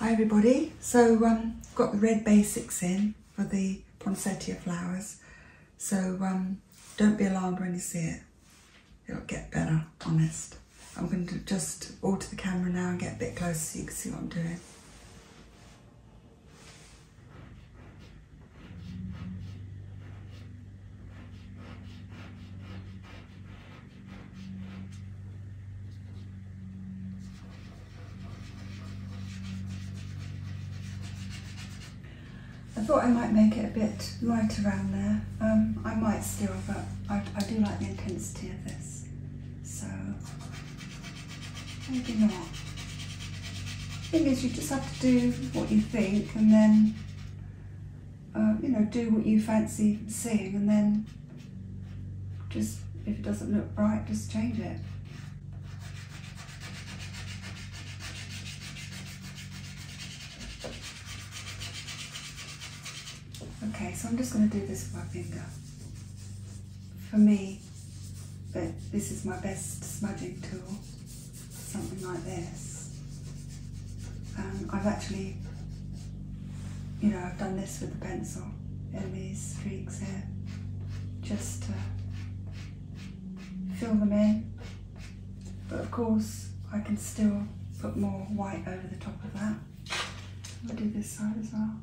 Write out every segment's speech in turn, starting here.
Hi everybody, so um, got the red basics in for the ponsetia flowers, so um, don't be alarmed when you see it, it'll get better, honest. I'm going to just alter the camera now and get a bit closer so you can see what I'm doing. I thought I might make it a bit light around there. Um, I might still, but I, I do like the intensity of this. So Maybe not. The thing is, you just have to do what you think and then, uh, you know, do what you fancy seeing and then just, if it doesn't look right, just change it. Okay, so I'm just going to do this with my finger. For me, but this is my best smudging tool, something like this. Um, I've actually, you know, I've done this with a pencil in these streaks here, just to fill them in, but of course I can still put more white over the top of that. I'll do this side as well.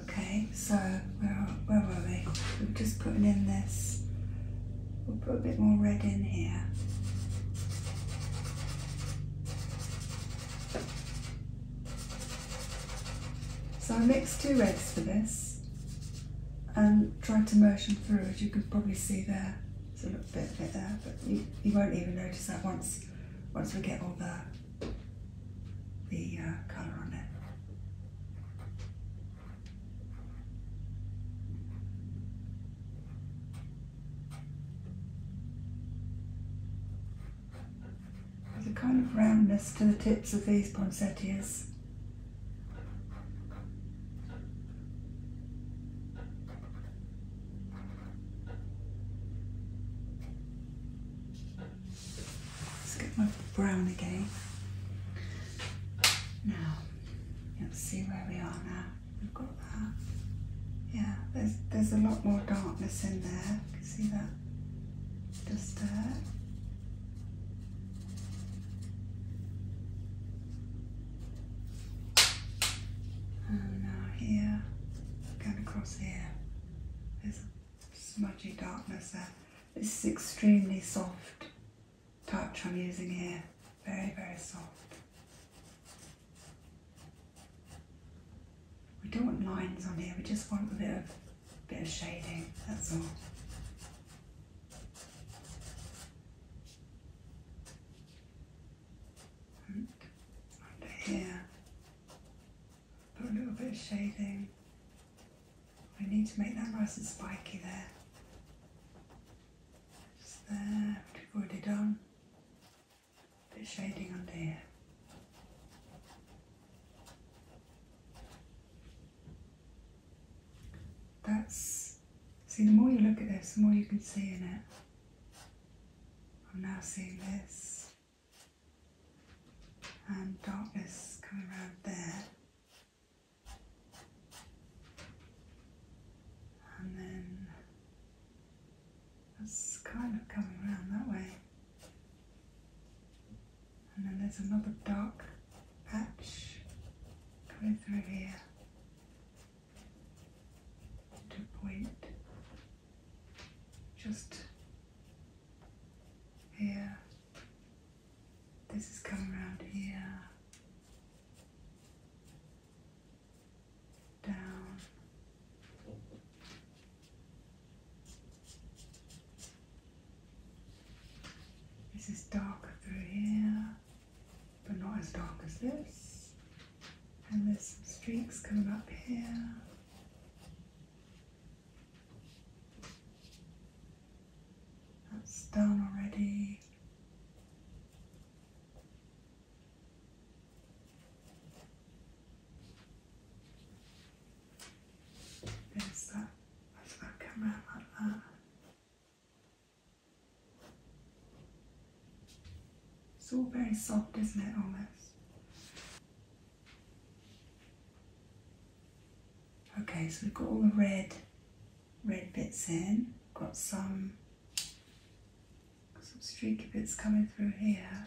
Okay, so where, are, where were we? We're just putting in this. We'll put a bit more red in here. So I mixed two reds for this and tried to motion through as you can probably see there. It's a little bit there, but you, won't even notice that once once we get all the the uh, colour on it. There's a kind of roundness to the tips of these poinsettias. Let's get my brown again. Now, you'll see where we are now. We've got that. Yeah, there's, there's a lot more darkness in there. You can see that? Just there. And now here, going across here, there's a smudgy darkness there. This is extremely soft touch I'm using here, very, very soft. We don't want lines on here, we just want a bit of, bit of shading, that's all under here. Put a little bit of shading. We need to make that nice and spiky there. Just there, we've already done. A bit shading under here. That's, see, the more you look at this, the more you can see in it. I'm now seeing this and darkness coming around there. And then that's kind of coming around that way. And then there's another dark patch coming through here to point just here. This is coming around here. Down this is darker through here, but not as dark as this. And there's some streaks coming up here. That's done already. There's that. That's that come out like that. It's all very soft, isn't it, almost? Okay, so we've got all the red, red bits in. Got some, some streaky bits coming through here.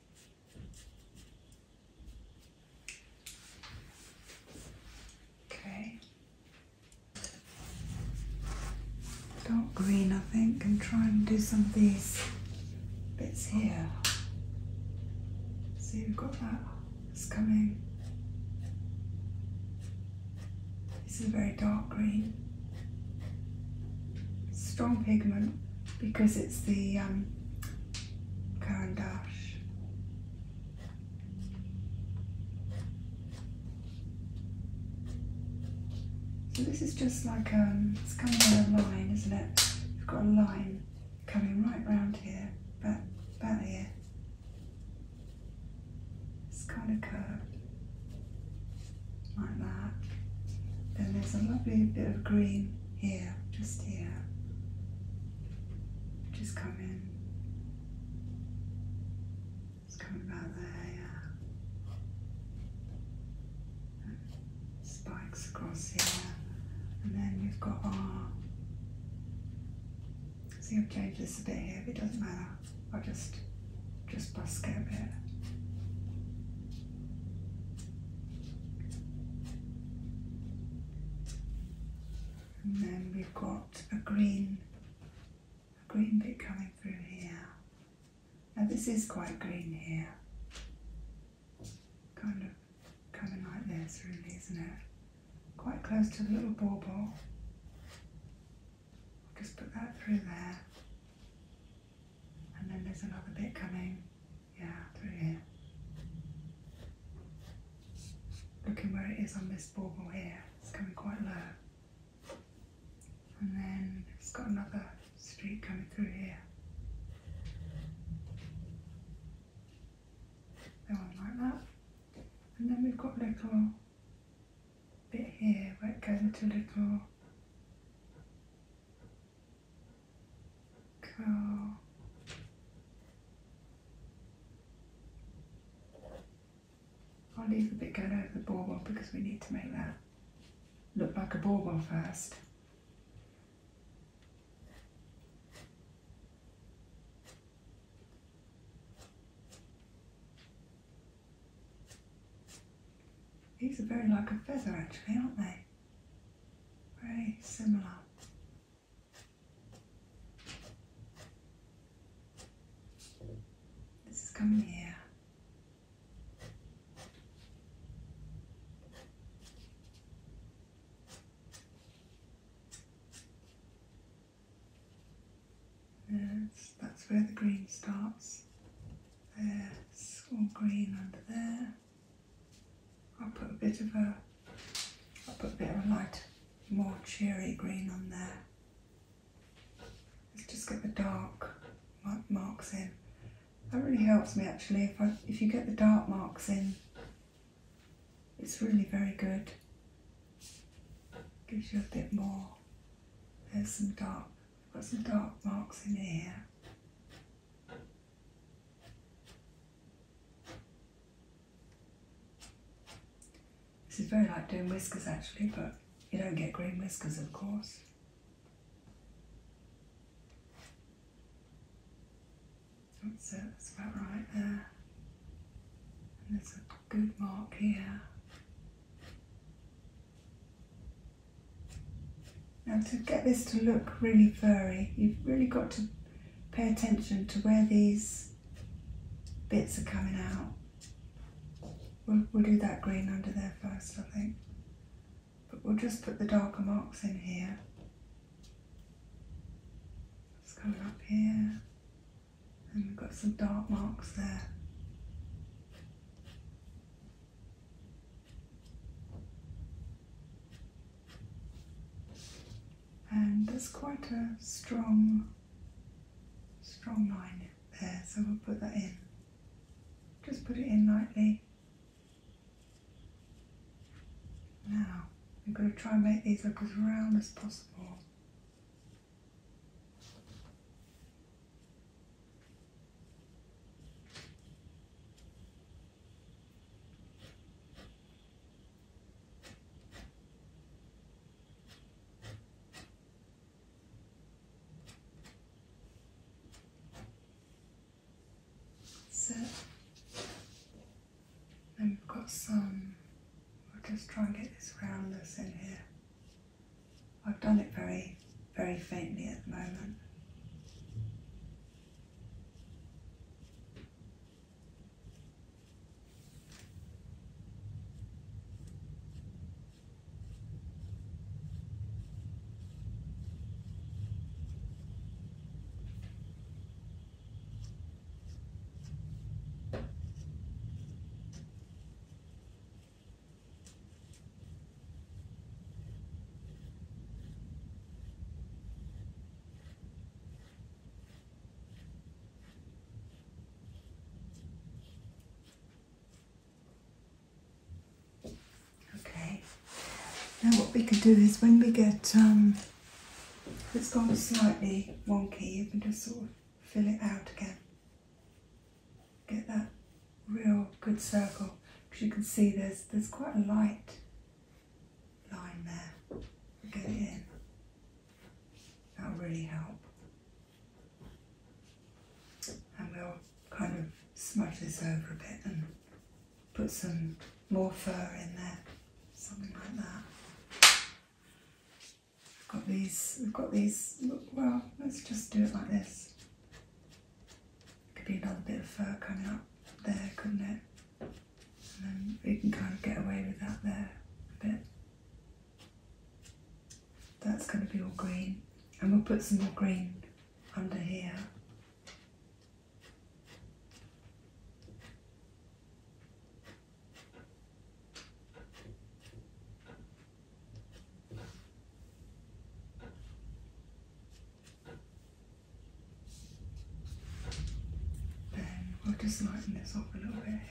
Okay. Dark green, I think, and try and do some of these bits here. See, we've got that. It's coming. This is a very dark green. Strong pigment because it's the um, Karandash. So this is just like, um, it's coming on a line, isn't it? You've got a line coming right round here, back, back here. It's kind of curved, like that. Then there's a lovely bit of green here, just here. Just come in. Just come about there, uh, Spikes across here. And then we've got our. See, I've changed this a bit here, but it doesn't matter. I'll just, just busk it and then we've got a green, a green bit coming through here. Now this is quite green here. Kind of coming like this really, isn't it? Quite close to the little bauble. Just put that through there. And then there's another bit coming yeah, through here. Looking where it is on this bauble here, it's coming quite low. And then it's got another streak coming through here. That like that. And then we've got a little bit here where it goes into a little go I'll leave a bit going over the ball bauble because we need to make that look like a ball first. These are very like a feather actually, aren't they? very similar. This is coming here. Yes, that's where the green starts. There's all green under there. I'll put a bit of a, I'll put a bit of a light, more cheery green on there. Let's just get the dark marks in. That really helps me actually. If, I, if you get the dark marks in, it's really very good. Gives you a bit more. There's some dark, got some dark marks in here. This is very like doing whiskers actually, but you don't get green whiskers of course. That's that's about right there. And there's a good mark here. Now to get this to look really furry, you've really got to pay attention to where these bits are coming out. We'll, we'll do that green under there first, I think. But we'll just put the darker marks in here. It's coming up here. And we've got some dark marks there. And there's quite a strong, strong line there, so we'll put that in. Just put it in lightly. Now, we're going to try and make these look as round as possible. Set. And um, we've got some, we'll just try and get this roundness in here. I've done it very, very faintly at the moment. Okay, now what we can do is when we get, um, it's gone slightly wonky, We can just sort of fill it out again get that real good circle because you can see there's there's quite a light line there. Get it in. That'll really help. And we'll kind of smudge this over a bit and put some more fur in there, something like that. we have got these, we've got these, well, let's just do it like this. Could be another bit of fur coming up there, couldn't it? And then we can kind of get away with that there a bit. That's going to be all green. And we'll put some more green under here. Then we'll just lighten this up a little bit here.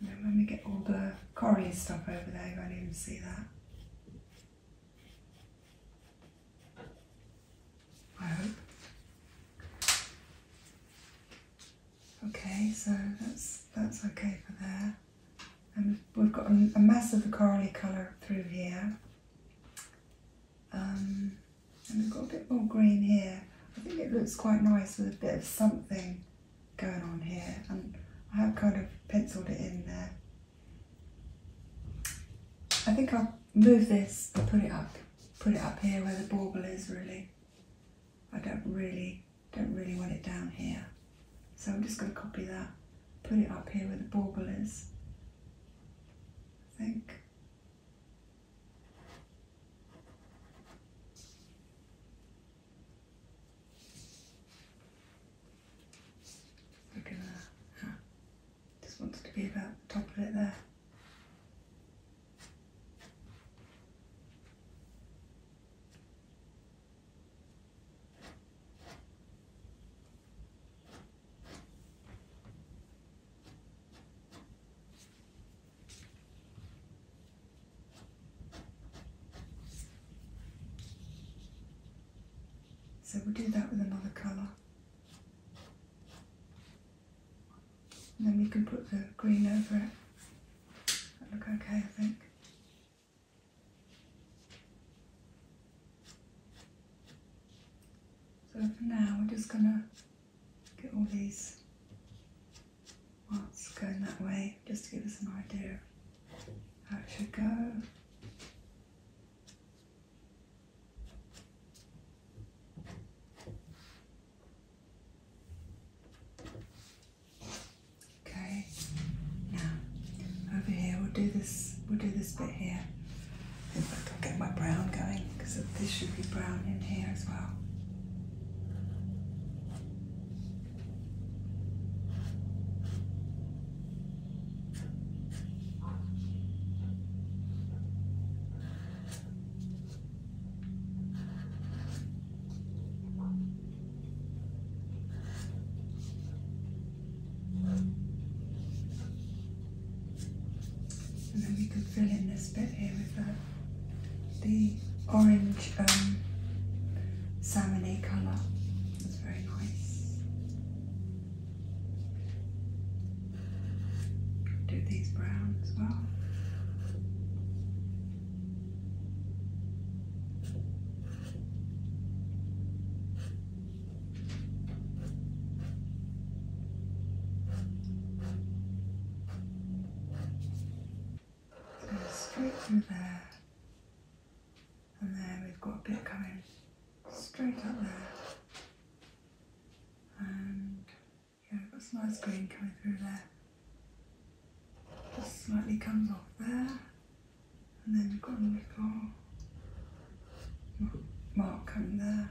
then when we get all the Corrie stuff over there, you won't even see that. I hope. Okay, so that's that's okay for there. And we've got a, a mass of the corally colour through here. Um, and we've got a bit more green here. I think it looks quite nice with a bit of something going on here. And I have kind of penciled it in there. I think I'll move this and put it up, put it up here where the bauble is really. I don't really, don't really want it down here. So I'm just going to copy that, put it up here where the bauble is, I think. Look at that. Ah, just wanted to be about the top of it there. So we'll do that with another colour then we can put the green over it. That look okay, I think. So for now, we're just gonna get all these parts going that way, just to give us an idea how it should go. Okay, now over here we'll do this, we'll do this bit here. If I can get my brown going, because this should be brown in here as well. And then we could fill in this bit here with the orange um, colour. That's very nice. Do these brown as well. straight from there, and then we've got a bit coming straight up there, and yeah, I've got some nice green coming through there. Just slightly comes off there. And then you've got a little mark coming there.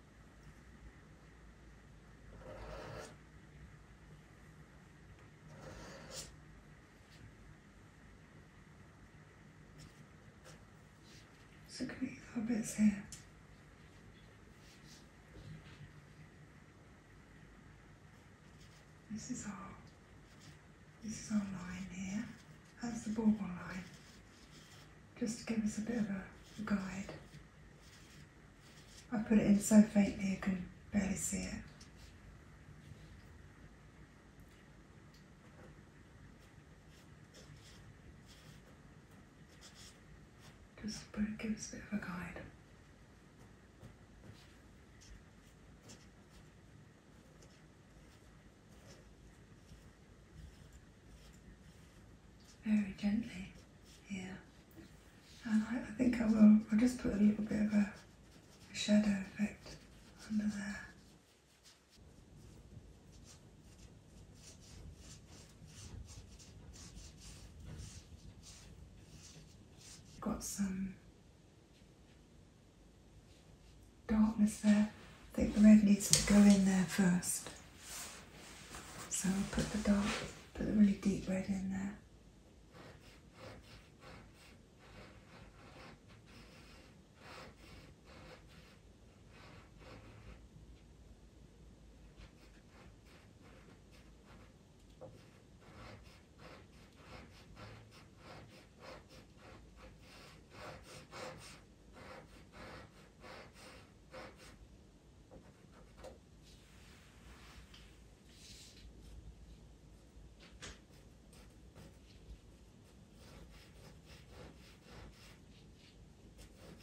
Just look at bits here. This is our this is our line here. That's the border line just to give us a bit of a guide. I put it in so faintly you can barely see it. Just put it, give us a bit of a guide very gently yeah. And I, think I will, I'll just put a little bit of a shadow effect under there. Got some darkness there. I think the red needs to go in there first. So I'll put the dark, put the really deep red in there.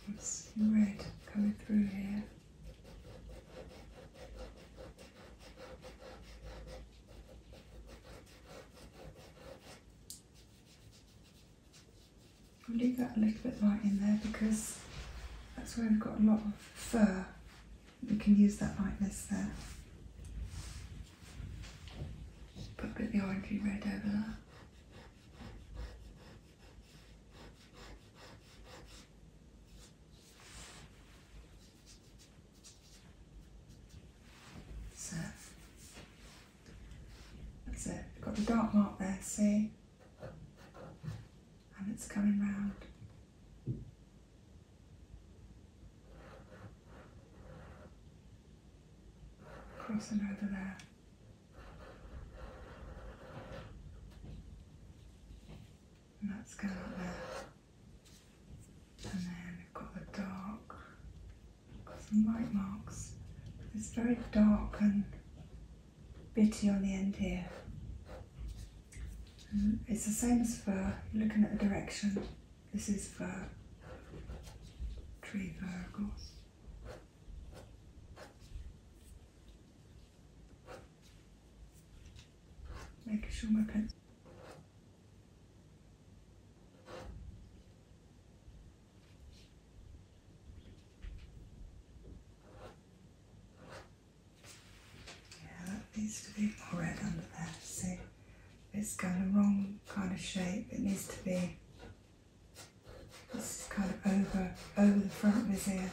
I'm seeing red coming through here. I'll leave that a little bit light in there because that's where we've got a lot of fur. We can use that lightness there. Put a bit of the orangey red over that. So that's it, got the dark mark there, see? And it's coming round. Crossing over there. And that's going out there. And then we've got the dark got some white marks. It's very dark and bitty on the end here. Mm, it's the same as fir, looking at the direction. This is fir, tree fir of course. Making sure my pencil yeah, that needs to be more red under there. See, it's kind of wrong kind of shape. It needs to be. This kind of over over the front of his ear.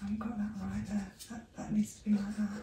I haven't got that right there. That, that needs to be like that.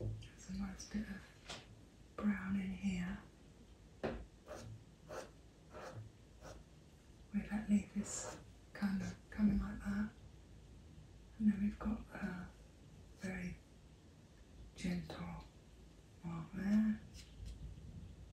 That's a nice bit of brown in here. Where that leaf is kind of coming like that. And then we've got a very gentle mark there.